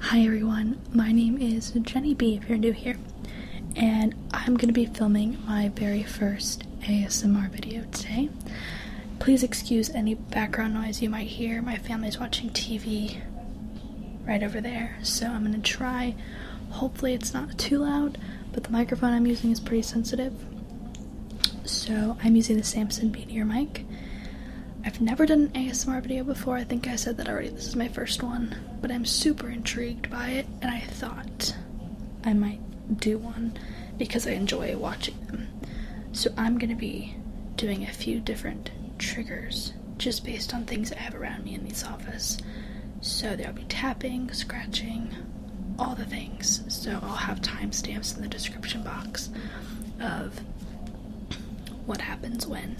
Hi everyone, my name is Jenny B if you're new here and I'm gonna be filming my very first ASMR video today. Please excuse any background noise you might hear. My family's watching TV right over there, so I'm gonna try. Hopefully, it's not too loud, but the microphone I'm using is pretty sensitive. So, I'm using the Samson Meteor mic. I've never done an ASMR video before. I think I said that already. This is my first one, but I'm super intrigued by it, and I thought I might do one because I enjoy watching them. So I'm going to be doing a few different triggers just based on things I have around me in this office. So there'll be tapping, scratching, all the things. So I'll have timestamps in the description box of what happens when.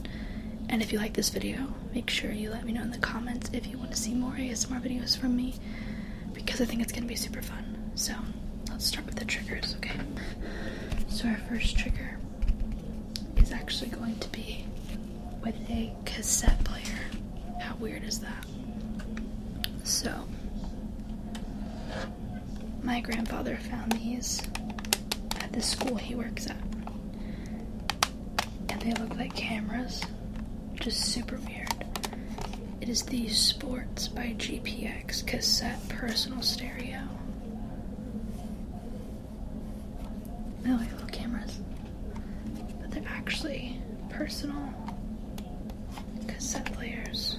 And if you like this video, make sure you let me know in the comments if you want to see more ASMR videos from me because I think it's gonna be super fun. So let's start with the triggers, okay? So our first trigger is actually going to be with a cassette player. How weird is that? So my grandfather found these at the school he works at. And they look like cameras. Just super weird. It is the Sports by GPX cassette personal stereo. I like little cameras, but they're actually personal cassette players.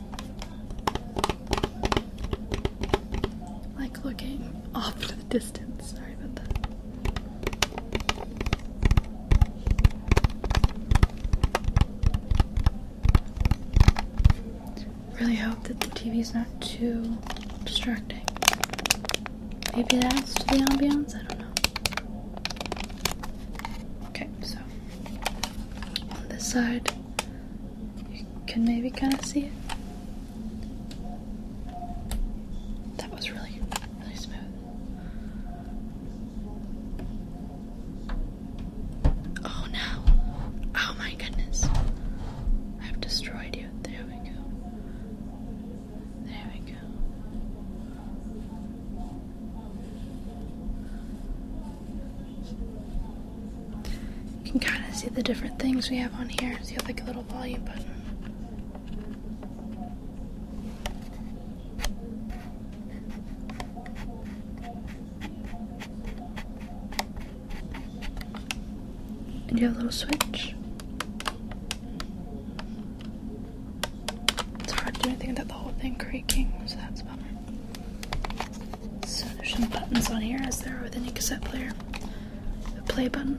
Like looking off to the distance. Sorry about that. Really hope that the TV's not too distracting. Maybe that's to the ambience. I don't know. Okay, so on this side you can maybe kind of see it. That was really, really smooth. Oh no. Oh my goodness. I've destroyed you. There we go. There we go. You can kind of see the different things we have on here. So you have like a little volume button. And you have a little switch. It's hard to do anything without the whole thing creaking, so that's bummer. So there's some buttons on here as there are with any cassette player. The play button.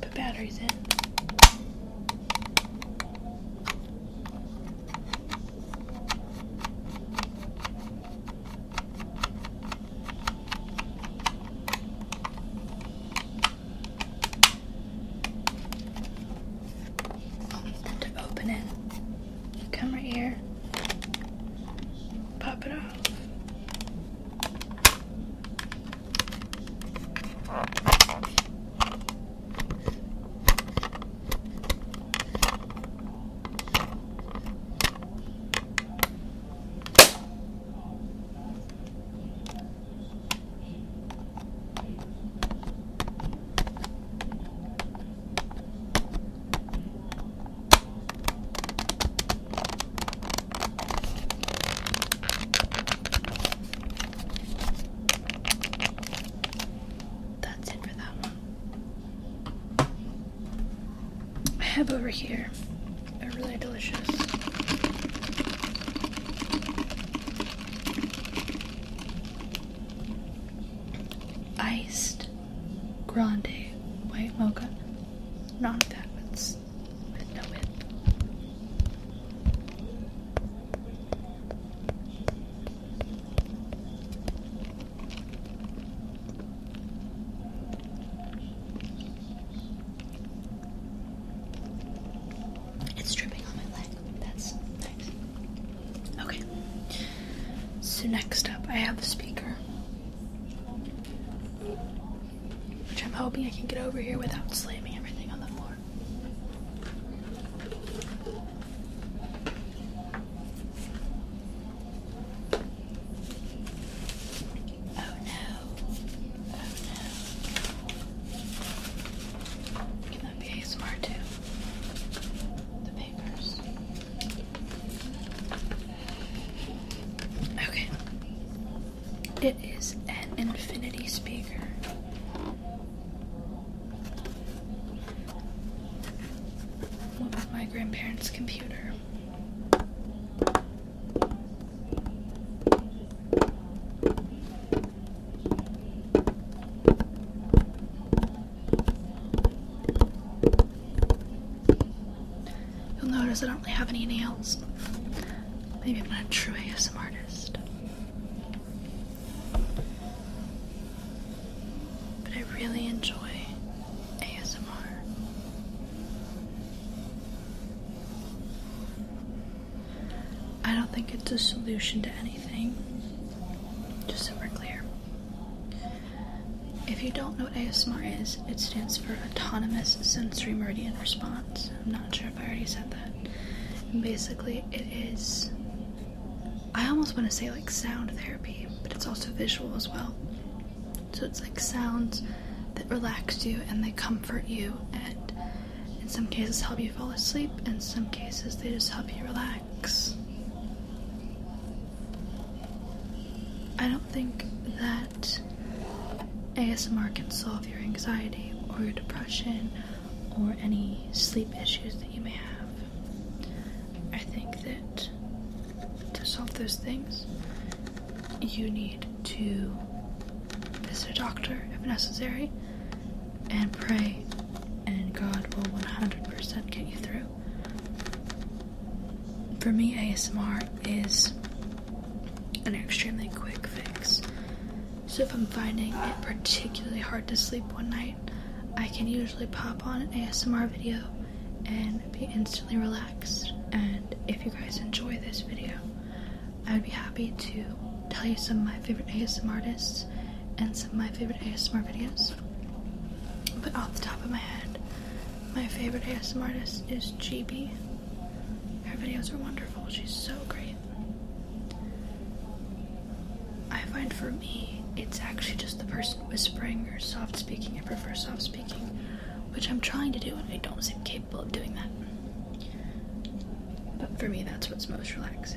Put batteries in to open it. Come right here. Pop it off. That's it for that one. I have over here a really delicious iced grande white mocha. Not like that, but It's dripping on my leg. That's nice. Okay. So next up, I have a speaker, which I'm hoping I can get over here without slamming everything on the floor. Oh no. Oh no. Can that be ASMR too? Okay. It is an infinity speaker. my grandparents' computer? You'll notice I don't really have any nails. Maybe I'm not a true ASM But I really enjoy ASMR. I don't think it's a solution to anything. Just so clear. If you don't know what ASMR is, it stands for Autonomous Sensory Meridian Response. I'm not sure if I already said that. basically, it is. I almost want to say like sound therapy, but it's also visual as well. So it's like sounds that relax you and they comfort you, and in some cases help you fall asleep, in some cases they just help you relax. I don't think that ASMR can solve your anxiety or your depression or any sleep issues that you may have. I think that to solve those things, you need to visit a doctor if necessary and pray, and God will 100% get you through. For me, ASMR is an extremely quick fix. So if I'm finding it particularly hard to sleep one night, I can usually pop on an ASMR video and be instantly relaxed. And if you guys enjoy this video, I'd be happy to tell you some of my favorite ASMR artists and some of my favorite ASMR videos. But off the top of my head, my favorite ASMR artist is GB. Her videos are wonderful. She's so great. I find for me, it's actually just the person whispering or soft speaking. I prefer soft speaking, which I'm trying to do, and I don't seem capable of doing that. But for me, that's what's most relaxing.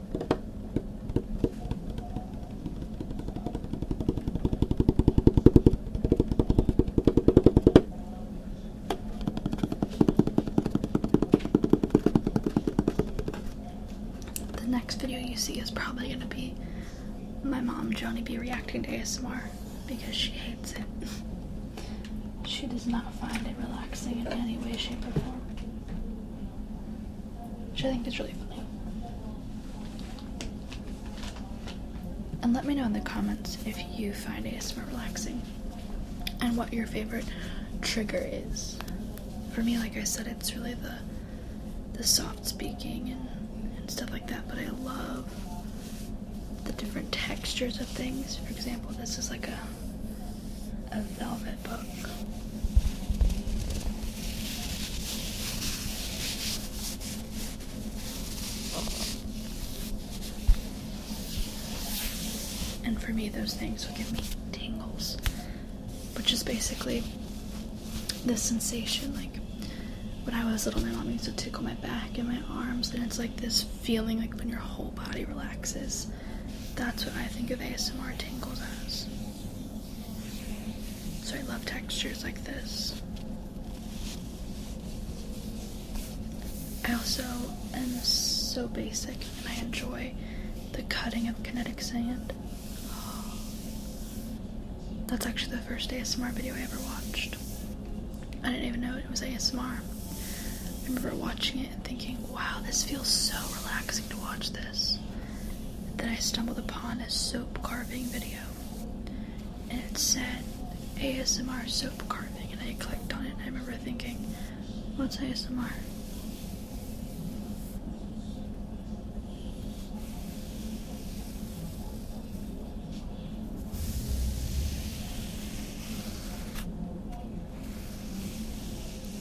The next video you see is probably gonna be my mom, Johnny B, reacting to ASMR because she hates it. she does not find it relaxing in any way, shape, or form. Which I think is really funny. And let me know in the comments if you find ASMR relaxing and what your favorite trigger is. For me, like I said, it's really the the soft speaking and, and stuff like that, but I love the different textures of things. For example, this is like a a velvet book. And for me, those things would give me tingles, which is basically this sensation like when I was little, my mom used to tickle my back and my arms, and it's like this feeling like when your whole body relaxes. That's what I think of ASMR tingles as. So I love textures like this. I also am so basic and I enjoy the cutting of kinetic sand. That's actually the first ASMR video I ever watched. I didn't even know it was ASMR. I remember watching it and thinking, wow, this feels so relaxing to watch this. then I stumbled upon a soap carving video and it said ASMR soap carving and I clicked on it and I remember thinking, what's ASMR?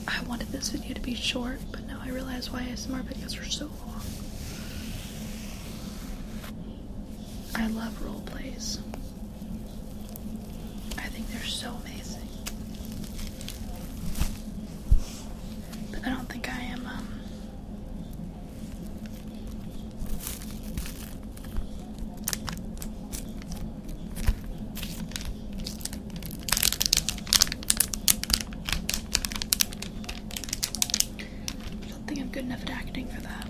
I wanted this video to be short, but now I realize why SMR videos are so long. I love role plays. I think they're so amazing. But I don't think I am, um, I don't think I'm good enough at acting for that.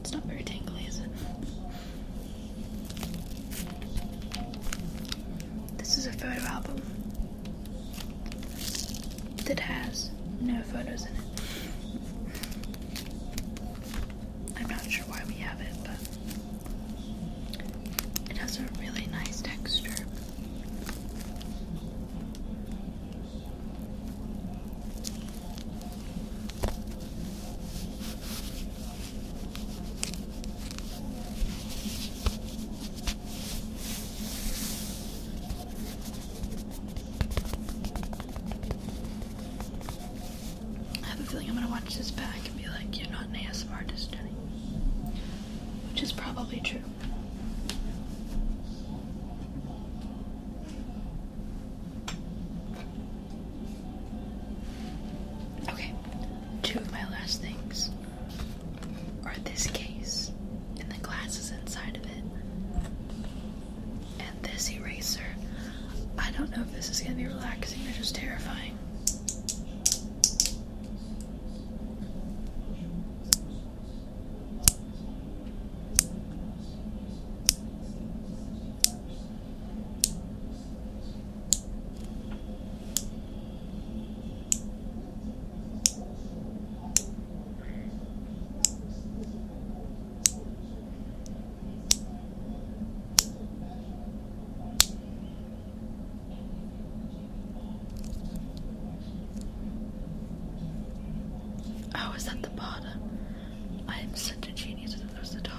It's not very tingly, is it? This is a photo album that has no photos in it. I'm not sure why we have it, but it has a really nice texture. I have a feeling I'm gonna watch this back and be like, you're not an ASMR artist, Jenny. Which is probably true. Okay, two of my last things are this case and the glasses inside of it. And this eraser. I don't know if this is going to be relaxing or just terrifying. Oh, I was at the bottom? I am such a genius when it goes to the top.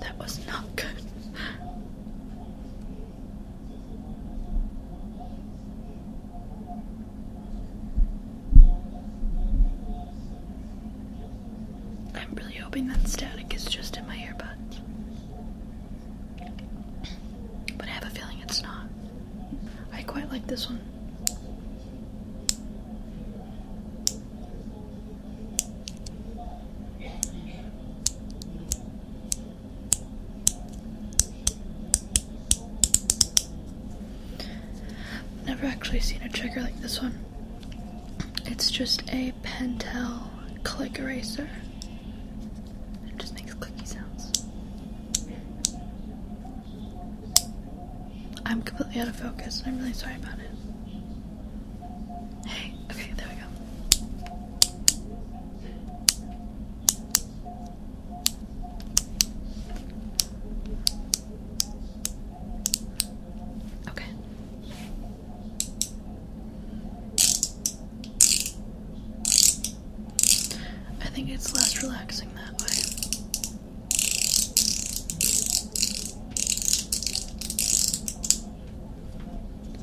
That was not good. I'm really hoping that static is just in my earbuds. But I have a feeling it's not. I quite like this one. Never actually seen a trigger like this one. It's just a Pentel click eraser. It just makes clicky sounds. I'm completely out of focus and I'm really sorry about it. Hey, okay, there we go. Okay. I think it's less relaxing that way.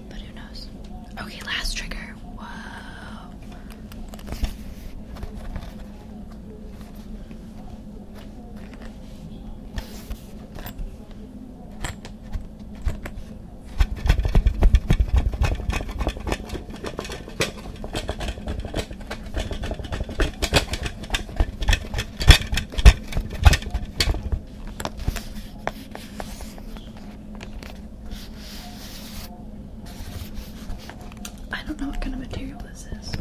But who knows? Okay, last trigger. Whoa. I don't know what kind of material this is.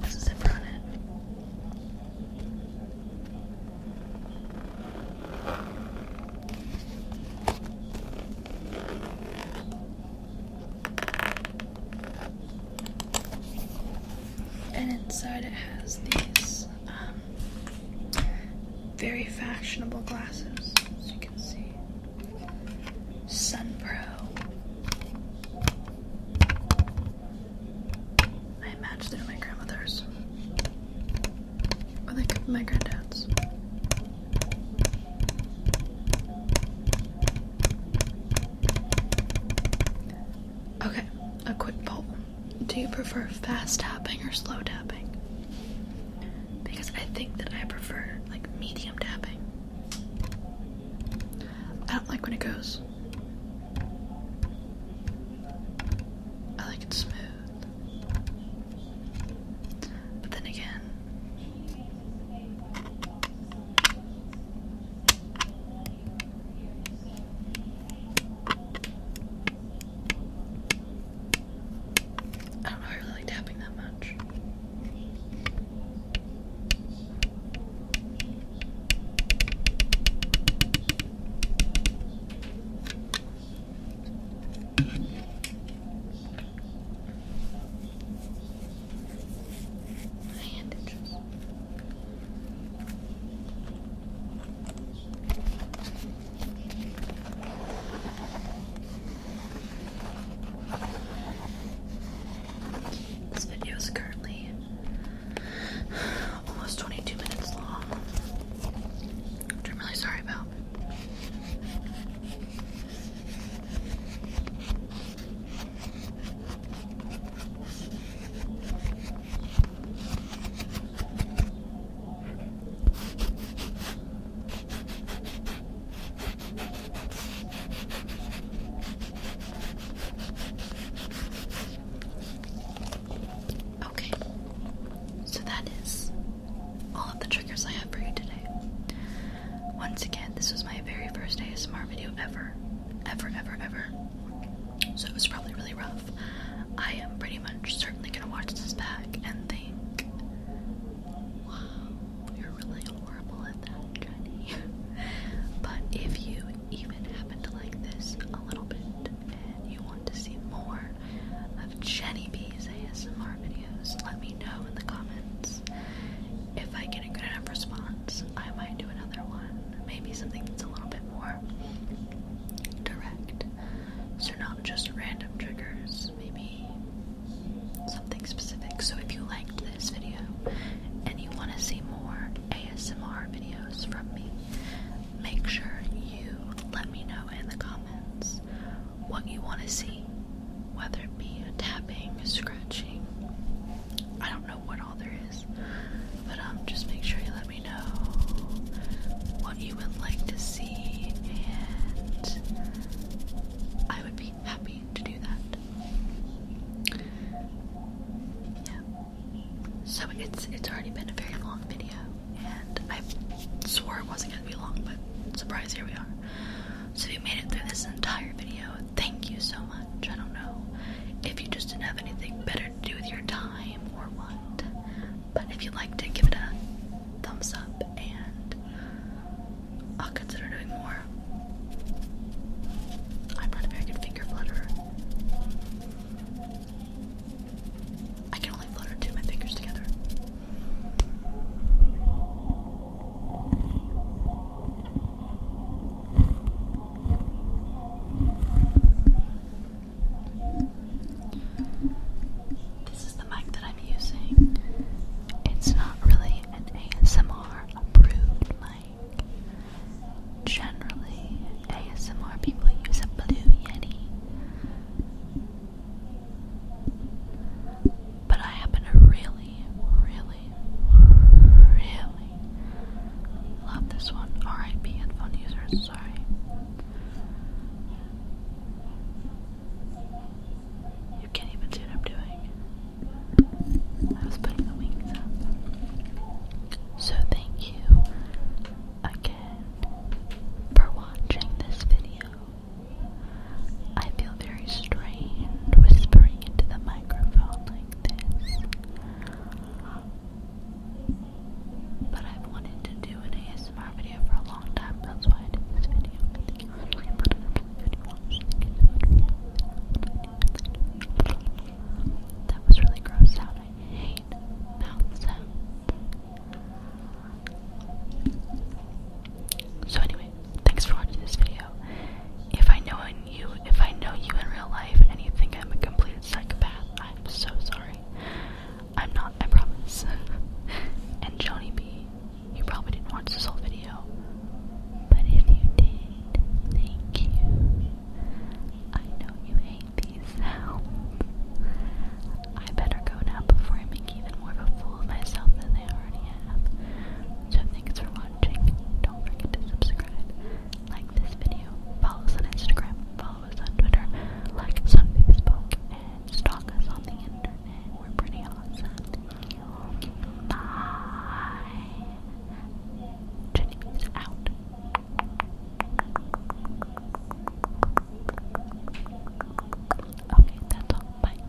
There's a zipper on it. And inside it has these um, very fashionable glasses, as you can see. SunPro. I matched them to my grandmother's. Or like my granddad's. Okay, a quick poll. Do you prefer fast tapping or slow tapping? Because I think that I prefer like medium tapping. I don't like when it goes. I like it smooth. But then again, I don't know, I really like tapping that much. This video is currently almost 22 minutes long, I'm really sorry about. Okay, so that is all of the triggers I have for you today. Once again, this was my very first ASMR video ever. Ever, ever, ever. So it was probably really rough. I am pretty much certainly gonna watch this back and think, wow, you're really horrible at that, Jenny. but if you even happen to like this a little bit and you want to see more of Jenny B's ASMR videos, let me know in the comments. If I get a good enough response, I might do another one. Maybe something that's a little bit more direct. So, not just random triggers, maybe something specific. So, if you liked this video and you want to see more ASMR videos from me, make sure you let me know in the comments what you want to see whether it be tapping, scratching. I don't know what all there is, but um, just make sure you let me know what you would like to see, and I would be happy to do that. Yeah. So it's it's already been a very long video, and I swore it wasn't gonna be long, but surprise, here we are. So you made it through this entire video, thank you so much. I don't know if you just didn't have anything better to do with your time or what, but if you liked it, give it a thumbs up and I'll consider doing more. I'm not a very good finger flutterer. I can only flutter two of my fingers together. This is the mic that I'm using. It's not really an ASMR approved mic. Generally, ASMR people use a Blue Yeti. But I happen to really, really, really love this one. RIP headphone users, sorry. You can't even see what I'm doing. I was putting the wings up. So thank you again for watching this video. I feel very strange whispering into the microphone like this. But I've wanted to do an ASMR video for a long time, that's why I did this video. That was really gross sound. I hate mouth sounds. So anyway, thanks for watching this video. If I know you, if I know you in real life and you think I'm a complete psychopath, I'm so sorry. I'm not, I promise. and Johnny B, you probably didn't watch this whole video. But if you did, thank you. I know you hate these sounds. I better go now before I make make even more of a fool of myself than they already have. So thanks for watching. Don't forget to subscribe, like this video, follow us on Instagram, follow us on Twitter, like on Facebook, and stalk us on the internet. We're pretty awesome. Bye. Jenny Beats out. Okay, that's all. Bye.